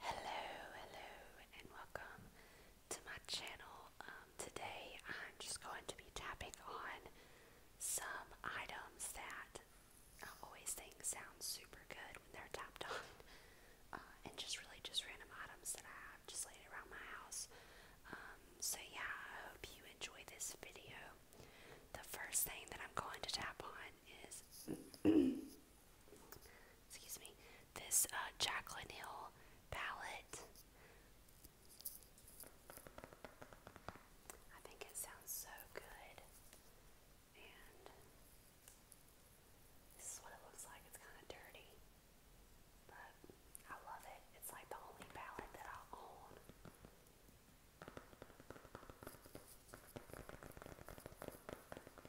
Hello, hello, and welcome to my channel. Um, today I'm just going to be tapping on some items that I always think sound super good when they're tapped on, uh, and just really just random items that I have just laid around my house. Um, so, yeah, I hope you enjoy this video. The first thing that I'm going to tap on is excuse me, this uh, Jacqueline Hill palette. I think it sounds so good. And this is what it looks like. It's kind of dirty. But I love it. It's like the only palette that I own.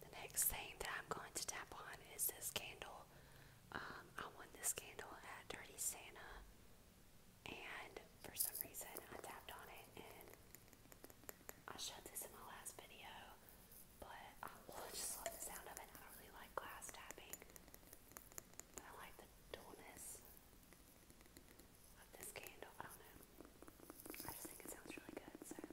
The next thing that I'm going to tap on is this candle. Um, I won this candle at Dirty Santa, and for some reason I tapped on it and I showed this in my last video, but I just love the sound of it. I don't really like glass tapping, but I like the dullness of this candle. I don't know. I just think it sounds really good, so I'm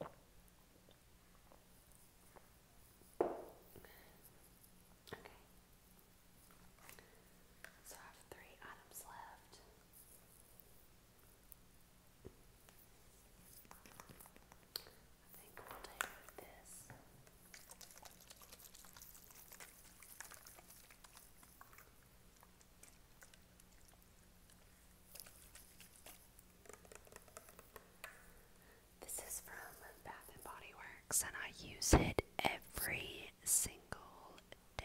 Okay. So I have three items left. I think we'll take this. This is from Bath and Body Works, and I use it every single day.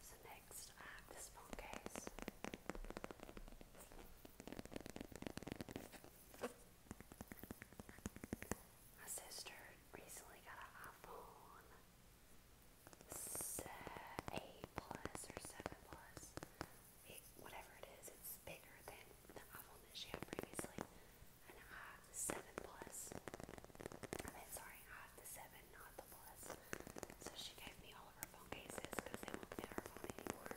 So next this phone case. My sister recently got an iPhone 8 Plus or 7 Plus. whatever it is, it's bigger than the iPhone that she had previously. And I 7 Plus. I mean, sorry, I 7, not Papadopoulos. So she gave me all of her phone cases because they won't fit her phone anymore.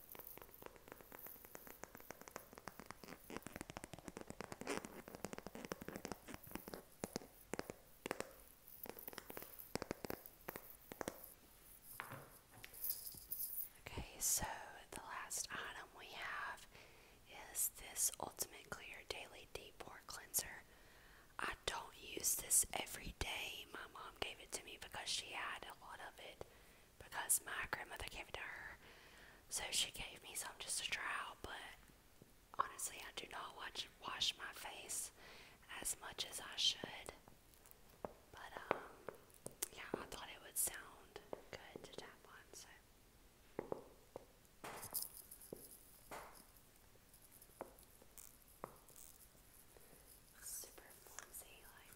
Okay, so the last item we have is this Ultimate Clear Daily Deep Pore Cleanser. I don't use this every day. My mom gave it to me because she had a lot of it because my grandmother gave it to her. So she gave me some just to try but honestly, I do not watch, wash my face as much as I should. But, um, yeah, I thought it would sound good to tap on, so. Super flimsy, like.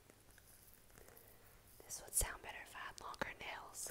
This would sound better if I had longer nails.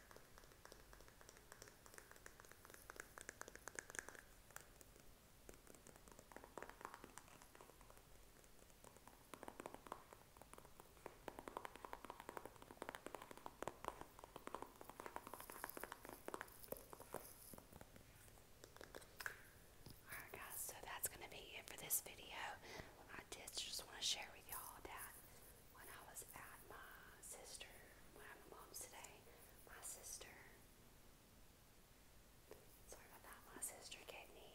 Alright guys, so that's going to be it for this video. I did just want to share with y'all that when I was at my sister, when I'm my mom's today, my sister, sorry about that, my sister gave me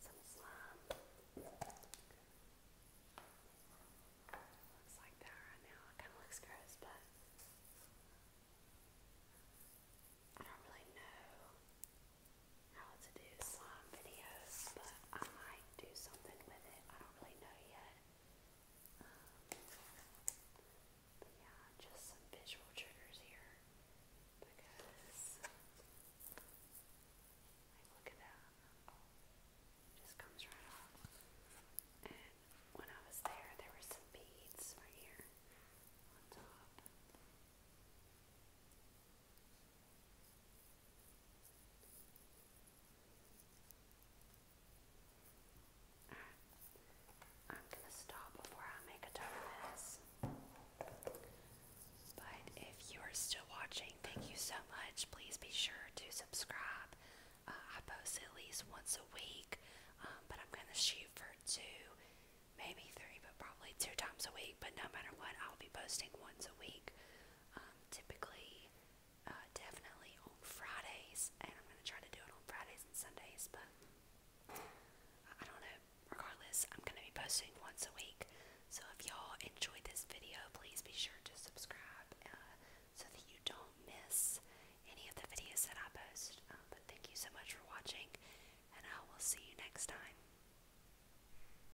some slime. Looks like that right now. It kind of looks gross, but I don't really know how to do slime videos, but I might do something with it. I don't really know yet. Um, yeah, just some visual triggers here because, look at that. just comes right off. And when I was there, there were some beads right here on top. I'm going to stop before I make a ton of mess. But if you are still watching, thank you so much. Please be sure to subscribe. Uh, I post at least once a week, um, but I'm going to shoot for two, maybe three, but probably two times a week. But no matter what, I'll be posting once a week. Um, typically, uh, definitely on Fridays, and I'm going to try to do it on Fridays and Sundays, but I don't know. Regardless, I'm going to be posting once a week, so if y'all enjoyed this video, please be sure to subscribe uh, so that you don't miss any of the videos that I post. Uh, but thank you so much for watching, and I will see you next time.